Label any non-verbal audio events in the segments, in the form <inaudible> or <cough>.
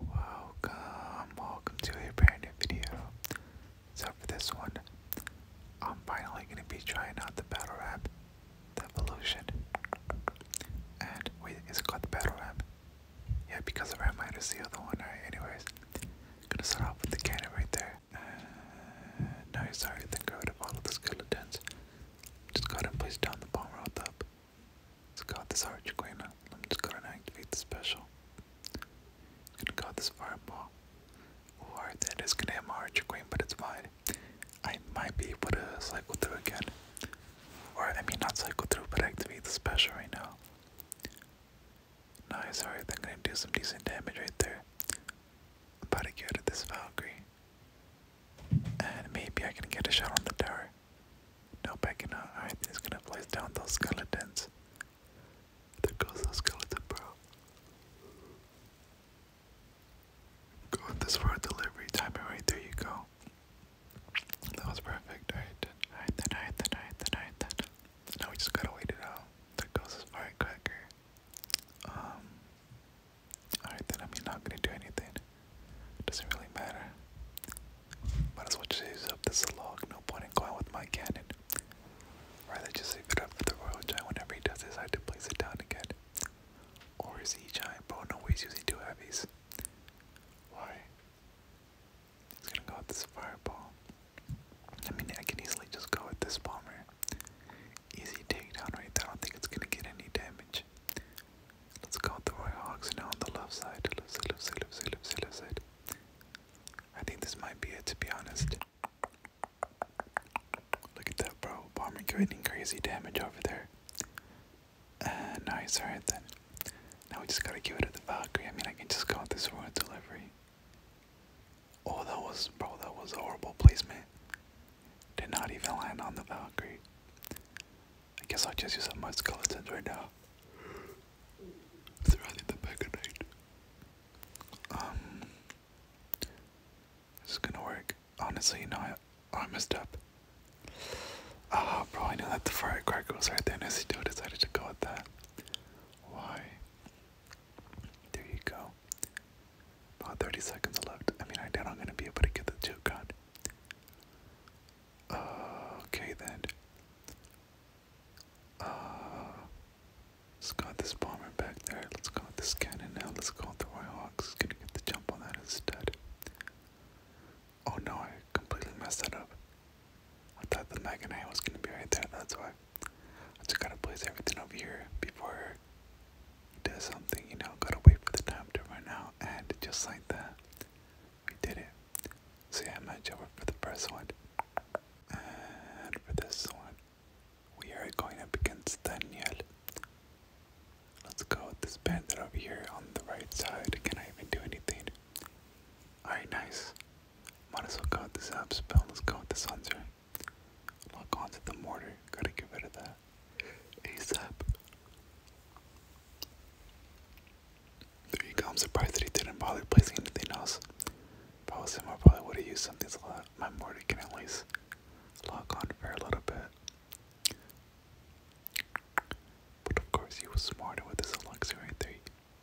Welcome, welcome to a brand new video. So for this one, I'm finally going to be trying out the battle rap, the evolution. And wait, is it called the battle rap? Yeah, because of rap might is the other one. Alright, anyways, I'm gonna start off with the cannon right there. Uh, no, sorry, I think I would have followed the skeletons. Just go ahead place down the bomb rope up. Let's guard this Archiquina. I'm just gonna activate the special. gonna guard this fireball. Ooh, that is gonna hit my Archiqueen, but it's fine. I might be able to cycle through again. Or, I mean, not cycle through, but activate the special right now. Nice, alright, they're gonna do some decent damage right there. I'm about this Valkyrie. And maybe I can get a shot on the tower. Nope, I cannot. Alright, he's gonna place down those skeletons. There goes those skeleton, bro. Go this for a delivery timer right there. You go. That was perfect. Alright then. Alright then. Alright then. Alright then. Now we just gotta wait it out. There goes this firecracker. Um. Alright then. I mean, not gonna do anything. Doesn't really matter. Might as well just use up this log, no point in going with my cannon. Rather just leave it up to the royal giant whenever he does decide to place it down again. Or is he giant bro? No he's using two heavies. Why? He's gonna go with this fireball. I mean, I can easily just go with this bomber. Easy takedown right I don't think it's gonna get any damage. Let's go to the Royal Hawks now on the left side. Left side, left side, left side, left side, left side. I think this might be it to be honest. Look at that, bro. Bomber creating crazy damage over there. nice, alright then. Now we just gotta give it to the Valkyrie. I mean, I can just go with this royal delivery. Oh, that was, bro, that was a horrible placement. Did not even land on the Valkyrie. I guess I'll just use up my skeletons right now throughout the Peganite. Um, this is gonna work. Honestly, no, I, I messed up. Ah, oh, bro, I knew that the firecracker was right there, and I still decided to go with that. Why? There you go. About 30 seconds left. I mean, I doubt I'm gonna be able to get the two gun. Okay then. Uh, let's go with this bomber back there. Let's go this cannon now. Let's go with the Roy Hawks. Gonna get the jump on that instead. Oh no, I completely messed that up. I thought the and I was gonna be right there, that's why. I just gotta place everything over here before he does something, you know. Gotta wait for the time to run out, and just like that, we did it. So yeah, match over for the first one. And for this one, we are going up against Daniel. Let's go with this bandit over here on the right side. Can I even do anything? Alright, nice. Might as well go with this up spell. Let's go with this hunter. Lock onto the mortar. Gotta get rid of that. ASAP. There you go. I'm surprised that he didn't bother placing anything else. If I was him, I probably would have used something so that my Morty can at least lock on for a little bit. But of course, he was smarter with his elixir right there.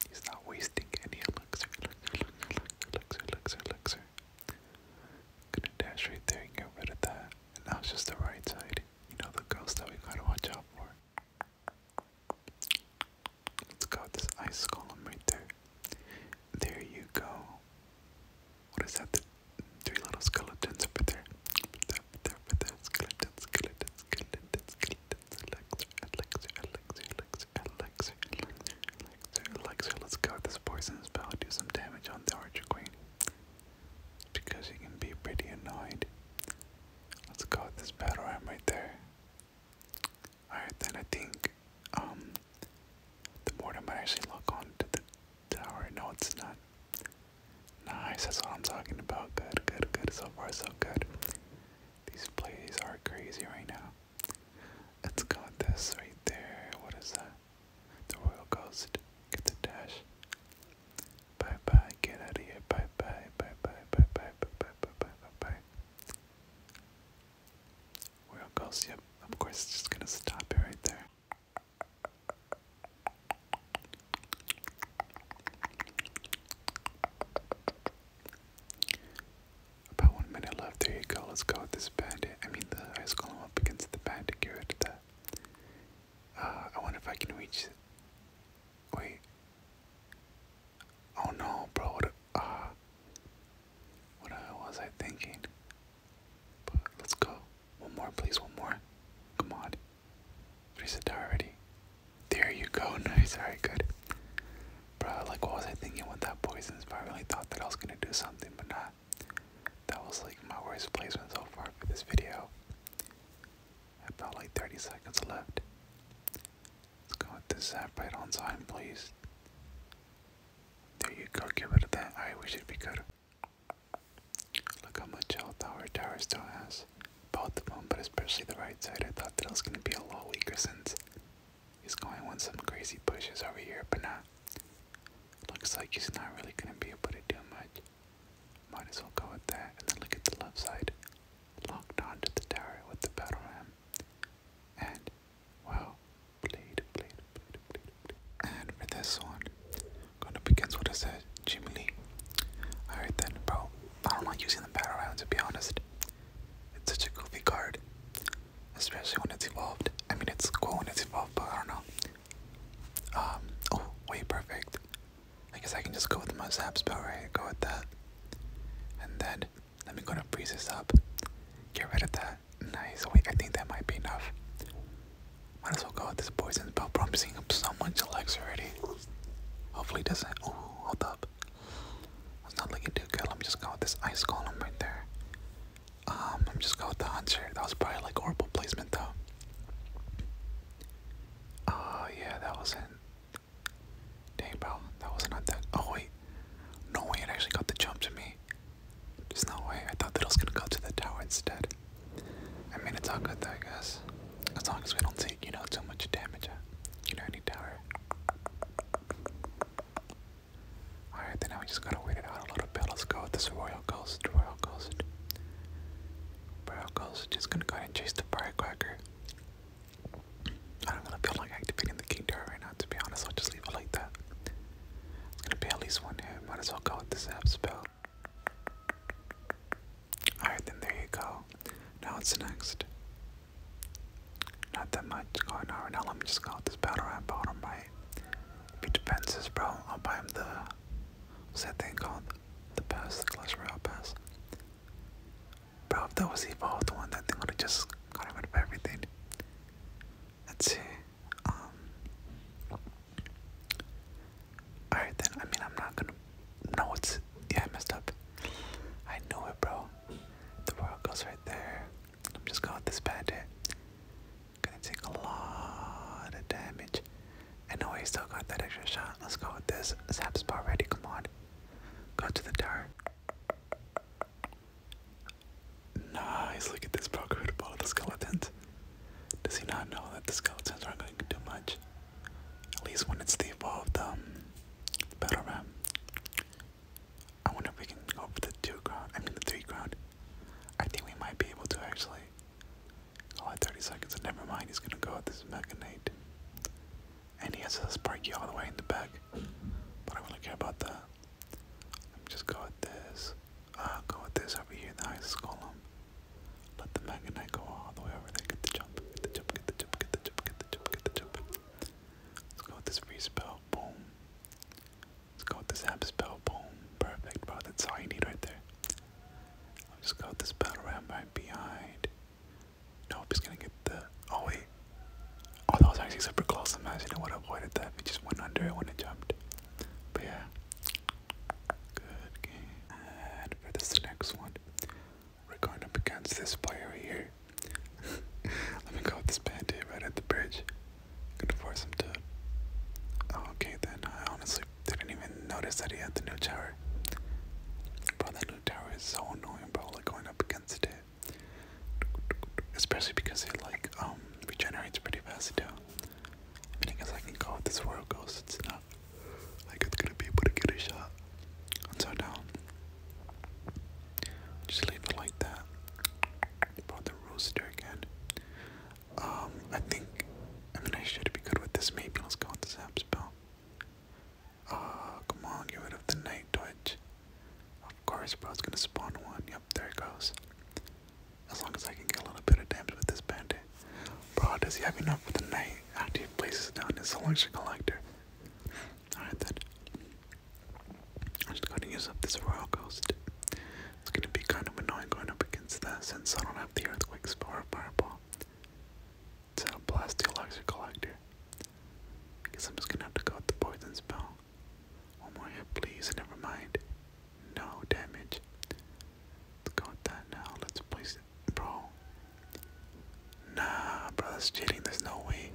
He's not wasting any elixir. Elixir, elixir, elixir, elixir. Gonna dash right there and get rid of that. now it's just the right side. You know, the ghost that we gotta watch out for. Let's go with this ice column right there. There you go. What is that? three little skeletons up there. Up there, up there, Skeleton, skeleton, skeleton, skeleton. Let's go with this poison spell. Do some damage on the Archer Queen. Because you can be pretty annoyed. Let's go with this battle ram right there. Alright, then I think um, the mortar might actually lock on to the tower. No, it's not. Nice, that's what I'm talking about. Good, good, good. So far, so good. These plays are crazy right now. Let's go this right there. What is that? The Royal Ghost. Get the dash. Bye bye. Get out of here. Bye bye. Bye bye. Bye bye. Bye bye. Bye bye. Bye bye. We're on Ghost. Yep. Of course, it's just gonna stop it right there. About one minute left. There you go. Let's go with this bandit. I mean, the ice column up against the bandit. Get rid of I wonder if I can reach. Wait, Oh no, bro, what, uh, was I thinking? let's go. One more, please, one more. Come on. Reset already. There you go, <laughs> nice, alright, good. Bro, like, what was I thinking with that poison I really thought that I was gonna do something, but not. that was like my worst placement so far for this video. About like 30 seconds left. Let's go with this zap right on time, please. There you go, get rid of that. wish it'd be good. Look how much health our tower still has. Both of them, but especially the right side. I thought that it was going to be a lot weaker since he's going with some crazy pushes over here, but not. Looks like he's not really going to be able to do much. Might as well go with that. And then look at the left side locked onto the tower with the battle ram, and wow, bleed, bleed, bleed, bleed, bleed. And for this one, I'm going against what I said, Jimmy Lee. Alright then, bro, I don't like using the battle ram to be honest. It's such a goofy card, especially when it's evolved. I mean, it's cool when it's evolved, but I don't know. Um, oh, way perfect. I guess I can just go with my zap spell, right? Go with that. And then let me go to freeze this up. Get rid of that. Nice. Wait, I think that might be enough. Might as well go with this poison spell, bro. I'm seeing so much Alex already. Hopefully it doesn't. Oh, hold up. It's not looking too good. Let me just go with this ice column right there. Um, I'm just going with the hunter. That was probably like horrible placement though. Oh uh, yeah, that wasn't Dang, bro, that was not that. Oh, wait. No way, it actually got the jump to me. There's no way. I thought that it was gonna go to the tower instead. I mean, it's all good though, I guess. As long as we don't take, you know, too much damage. You know, any tower. Alright, then now we just gotta wait it out a little bit. Let's go with this Royal Ghost. Royal Ghost. Royal Ghost. Just gonna go and chase the firecracker. I don't really feel like activating the King right now, to be honest. I'll just leave it like that. It's gonna be at least one hit. Might as well go with this zap spell. Alright, then there you go. Now what's next? Not that much going on right now. Let me just go with this battle rap bottom right. Be defenses, bro. I'll buy him the. said thing called? The pass, the clutch royale pass. Bro, if that was the evolved one, that thing would've just gotten rid of everything. Let's see. Um, alright then, I mean, I'm not gonna. No, it's. Yeah, messed up. I knew it, bro. The world goes right there. I'm just going with this bandit. Gonna take a lot of damage. And no, he still got that extra shot. Let's go with this. zap spot. Ready? come on. Go to the tower. Nice, look at this bro, Gerudo all the skeletons. Does he not know that the skeletons aren't going to much? At least when it's the evolved um, battle ram. I wonder if we can go for the two ground, I mean the three ground. I think we might be able to actually. Only 30 seconds, and never mind, he's gonna go at this Mega Knight. And he has a Sparky all the way in the back. But I wouldn't care about that. Let me just go with this. Uh, go with this over here, the ice column. Let the Magonite go all the way over there. Get the jump, get the jump, get the jump, get the jump, get the jump, get the jump. Let's go with this free spell. Boom. Let's go with this app spell. Boom. Perfect, bro. That's all you need right there. I'll just go with this battle ram right behind. Nope, he's gonna get the. Oh, wait. Oh, that was actually super close. Imagine it would have avoided that We just went under it when it jumped. But yeah. Good game. And for this next one, we're going up against this player here. <laughs> Let me go with this bandit right at the bridge. gonna force him to. okay, then I honestly didn't even notice that he had the new tower tower. Bro, that new tower is so annoying, bro, like going up against it. Especially because it like um regenerates pretty fast too. I mean I guess I can go if this world goes, it's not like it's gonna be able to get a shot. And so now just leave it like that. About the rooster again. Um, I think I mean I should be good with this. Maybe let's go with the zap spell. Oh, come on, get rid of the night twitch. Of course, bro, it's gonna spawn one. Yep, there it goes. As long as I can get a little bit of damage with this bandit. Bro, does he have enough for the night? After ah, place places down It's a selection collector. Alright then. I'm just gonna use up this Royal Ghost. It's gonna be kind of annoying going up against that since I don't have the earthquakes for a Fireball. So Blasteolog's a collector. I guess I'm just gonna have to go with the poison spell. One more hit, please. Never mind. No damage. Let's go with that now. Let's place it, bro. Nah, bro, that's cheating. There's no way.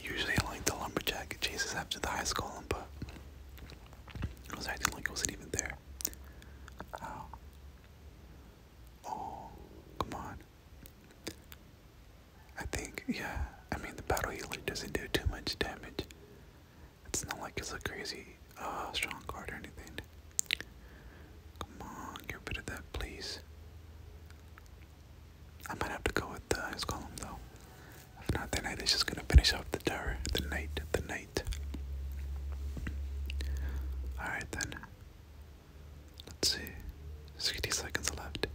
Usually, I like the lumberjack chases after the ice golem, but it was acting like it wasn't even there. Oh. Oh, come on. I think, yeah, I mean, the battle healer doesn't do too much damage. It's not like it's a crazy uh, strong card or anything. Come on, get rid of that, please. I might have to go with the ice though. If not, the knight is just gonna finish off the tower. The knight, the knight. Alright then. Let's see. 60 seconds left.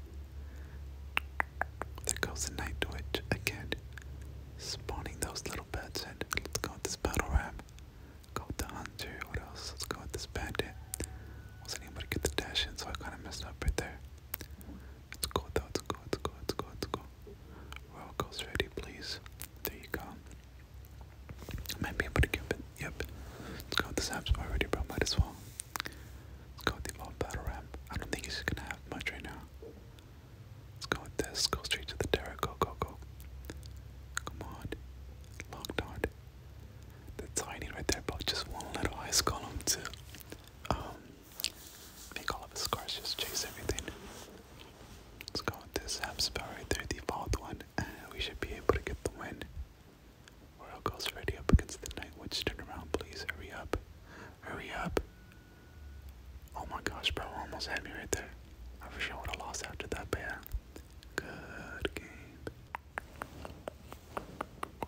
There goes the Night Witch again. Spawning those little bats in. Let's go with this battle ram. Go with the hunter. What else? Let's go with this bandit. Wasn't able to get the dash in, so I kind of messed up right there. Let's go though. Let's go. Let's go. Let's go. Let's go. Royal Ghost ready, please. There you go might be able to keep it. Yep. Let's go with this app's already, bro. Might as well. Let's go with the old battle rap. I don't think he's gonna have much right now. Let's go with this. Go straight to the Terra. Go, go, Come on. Locked dart. The tiny right there, bro. Just one little ice column to um, make all of his scars just chase everything. Let's go with this app right there, the one we should be able to get the win. Royal goes ready up against the Night Witch. Turn around, please. Hurry up. Hurry up. Oh my gosh, bro. Almost had me right there. I wish I would have lost after that, but yeah. Good game.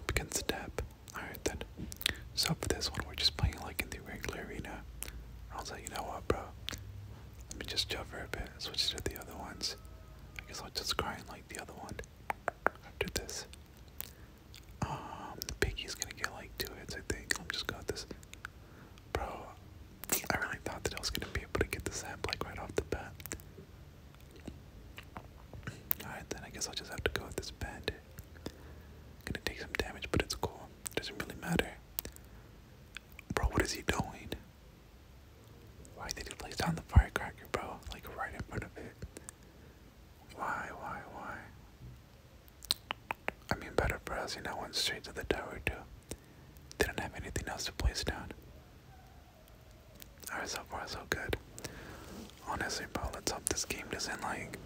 Begins to tap. Alright then. So for this one, we're just playing like in the regular arena. I was like, you know what, bro? Let me just chill for a bit, switch to the other ones. I guess I'll just cry like the other one after this. Um, the piggy's gonna get like two hits, I think. I'm just gonna this. Bro, I really thought that I was gonna be able to get this amp like right off the bat. Alright, then I guess I'll just have to go with this bandit. Gonna take some damage, but it's cool. Doesn't really matter. Bro, what is he doing? Why did he place down the firecracker, bro? Like right in front of it. Why, why, why? I mean, better for us, you went straight to the tower, too. Didn't have anything else to place down. Alright, so far, so good. Honestly, bro, let's hope this game doesn't, like,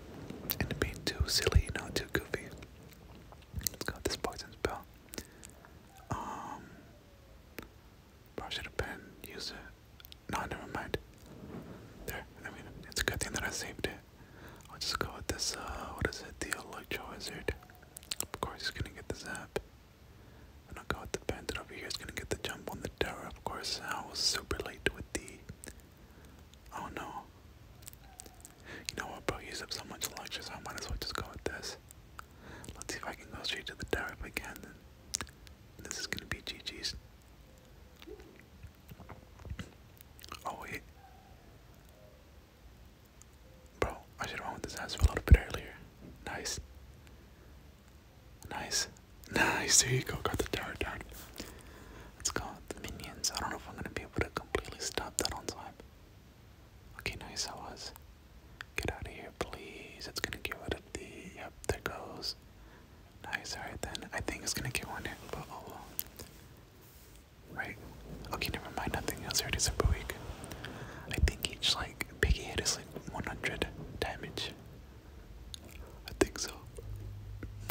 end up being too silly, you know, too goofy. Let's go this poison spell. Um, Probably should have been used it. No, never mind. There. I mean, it's a good thing that I saved it. I'll just go with this. Uh, what is it? The Wizard. Of course, he's gonna get the zap. And I'll go with the bandit over here. He's gonna get the jump on the tower. Of course, I was super late with the. Oh no. You know what, bro? Use up so much electrons. I might as well just go with this. Let's see if I can go straight to the tower if I can then. This is gonna be GG's. Oh wait. Bro, I should have went with this answer a little bit earlier. Nice. Nice. <laughs> Nice, there you go, got the tower down. Let's go the minions. I don't know if I'm gonna be able to completely stop that on time. Okay, nice I was. Get out of here, please. It's gonna get rid of the. Yep, there goes. Nice, alright then. I think it's gonna get one hit, but oh well. Right. Okay, never mind. Nothing else. Already super weak. I think each like piggy hit is like 100 damage. I think so.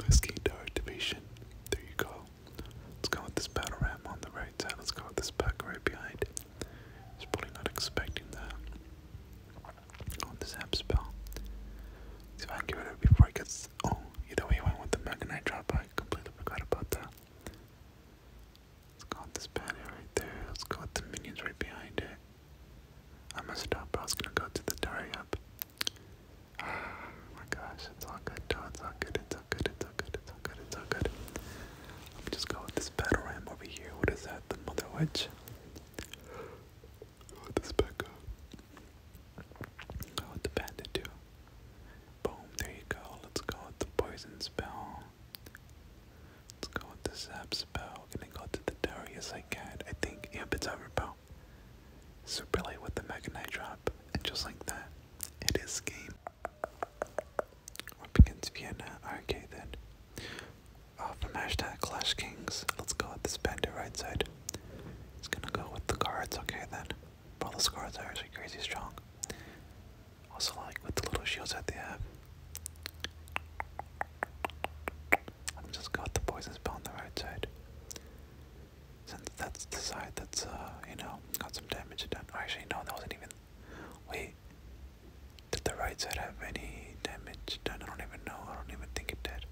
Let's gain our activation. There you go. Let's go with this battle ram on the right side. Let's go with this pack right behind. I probably not expecting that. Oh, this app spell. Let's see before it gets. Oh, either way, I went with the Magnite drop. I completely forgot about that. Let's go this banner right there. Let's go the minions right behind it. I messed up, but I was gonna go to the diary <sighs> oh my gosh, it's all good, It's all good, it's all good, it's all good, it's all good, it's all good. Let me just go with this battle ram over here. What is that? The mother witch? Go with this Becca. Go with the bandit too. Boom, there you go. Let's go with the poison spell. Let's go with the zap spell. Gonna go to the Darius I I think, yep, it's overpower. Super late with the Mega Night drop. And just like that, it is game what begins Vienna? Okay then. After from hashtag Clash Kings, let's go with this bandit right side. It's gonna go with the cards, okay then. All the cards are actually crazy strong. Also like with the little shields that they have. I'm just go the poison spell on the right side. Since that's the side that's uh, you know, got some damage done. Actually no, that wasn't even Wait, did the right side have any damage done? I don't even know. I don't even think it did.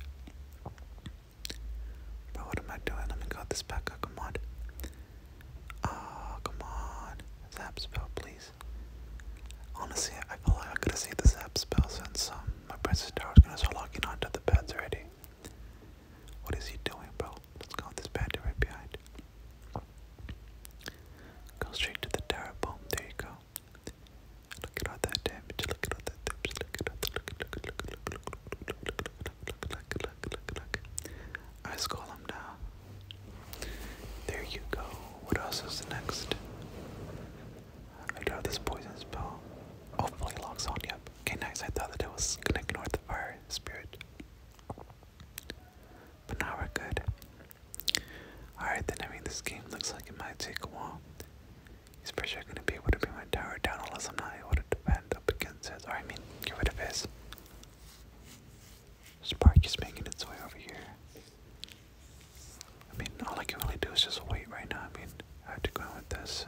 But what am I doing? Let me cut this back up. Come on. Oh, come on. Zap spell, please. Honestly, I feel like I could have saved the zap spell since um, my princess tower is gonna start locking onto the pads already. What is he doing, bro? Let's go with this to right behind. Go straight to the tower. Boom, there you go. Look at all that damage. Look at all that damage. Look at all that. Look, look, look, look, look, look, look, look, look, look, look, look, look. Ice Golem now. There you go. What else is next? I got this poison spell. Oh, fully locks on. Yep. Okay, nice. I thought that it was gonna ignore the fire spirit. But now we're good. Alright then, I mean, this game looks like it might take a while. He's pretty sure gonna be able to bring my tower down unless I'm not able to defend up against his, or I mean, get rid of his. Spark is making its way over here. I mean, all I can really do is just wait right now. I mean, I have to go in with this.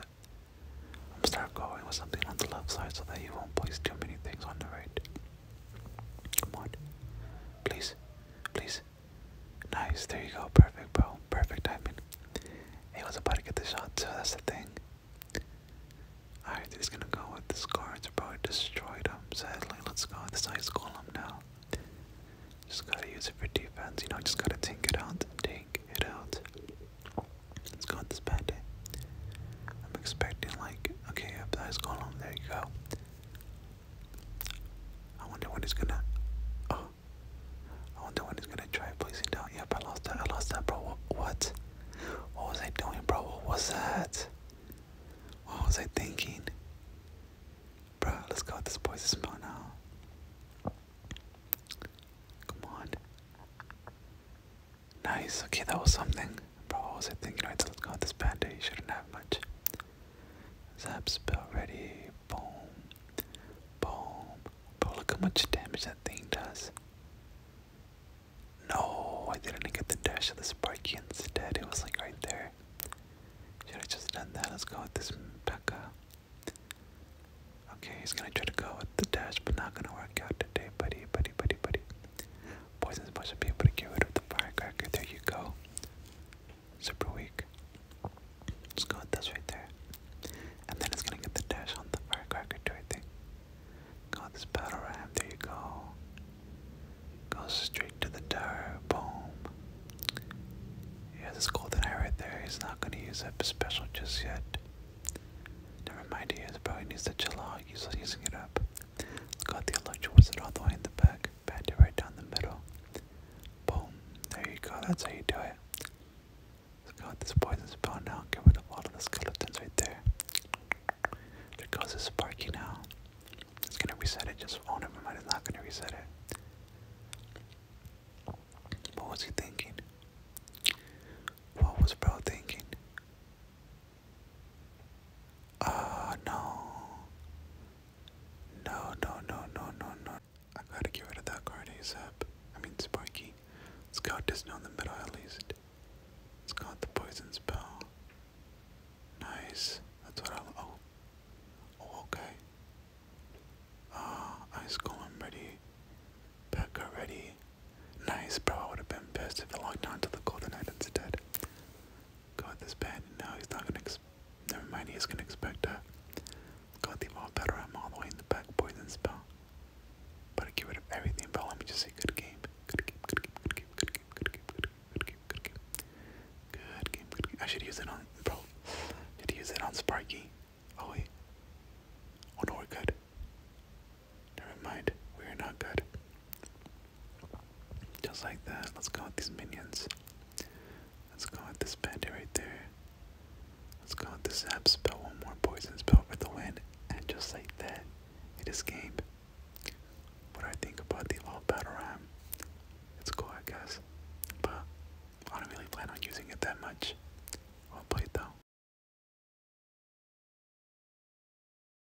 I'm going start going with something on the left side so that he won't place too many things on the right. Come on. Please. Please. Nice. There you go. Perfect, bro. Perfect timing. He was about to get the shot, so that's the thing. Alright, this is gonna go with the cards, bro. It destroyed him. Sadly, let's go with this ice golem now. Just gotta use it for defense, you know, just gotta take it out. Take it out. Let's go with this bandit. I'm expecting like, okay, if that's going on, there you go. I wonder when he's gonna. Oh, I wonder when he's gonna try placing down. Yep, I lost that. I lost that, bro. What? What, what was I doing, bro? What was that? What was I thinking? Bro, let's go with this poison spell now. Come on. Nice, okay, that was something. Bro, what was I thinking? i so let's go with this panda. He shouldn't have much. Zap built ready. Boom. Boom. Bro, look how much damage that thing does. No, I didn't get the dash of the Sparky instead. It was like right there. Should have just done that. Let's go with this Pekka. Okay, he's gonna try to go with the dash, but not gonna work out today, buddy, buddy, buddy, buddy. Poison supposed to be able to get rid of the firecracker. There you go. Super weak. Let's go with this right there. And then it's gonna get the dash on the firecracker too, I think. Go with this battle ram, there you go. Go straight to the door. boom. Yeah, this golden eye right there, he's not gonna use up special just yet. Never mind, he is, bro. needs to chill out. He's using it up. Got the electric wizard all the way in the back, bend it right down the middle. Boom, there you go, that's how you do it. let this poison spell now, get rid of all of the skeletons right there. There goes the Sparky now. It's gonna reset it, just, oh never mind, it's not gonna reset it. What was he thinking? What was bro thinking? Ah, no. No, no, no, no, no, no. I gotta get rid of that card ASAP. I mean, Sparky. Let's go Disney on the middle at least. It's got the poison spell. Nice. That's what I'll. Oh. Oh, okay. Ah, ice golem ready. Pecker ready. Nice, bro. I would have been pissed if it locked to the golden knight instead. Got this bad, and now he's not gonna. Never mind, he's gonna expect a. Got the ball better. I'm all the way in the back. Poison spell. But get rid of everything. But let me just say, good game. Good game. Good game. Good game. Good game. Good game. Good game. Good game. Good game. Good game. Good game. I should use it on bro. Did use it on Sparky? Oh wait. Oh no, we're Never mind, we are not good. Just like that, let's go with these minions. Let's go with this bandit right there. Let's go with this zap spell, one more poison spell with the wind, and just like that, it is escaped. What do I think about the old battle ram? It's cool, I guess, but I don't really plan on using it that much. i Well played though.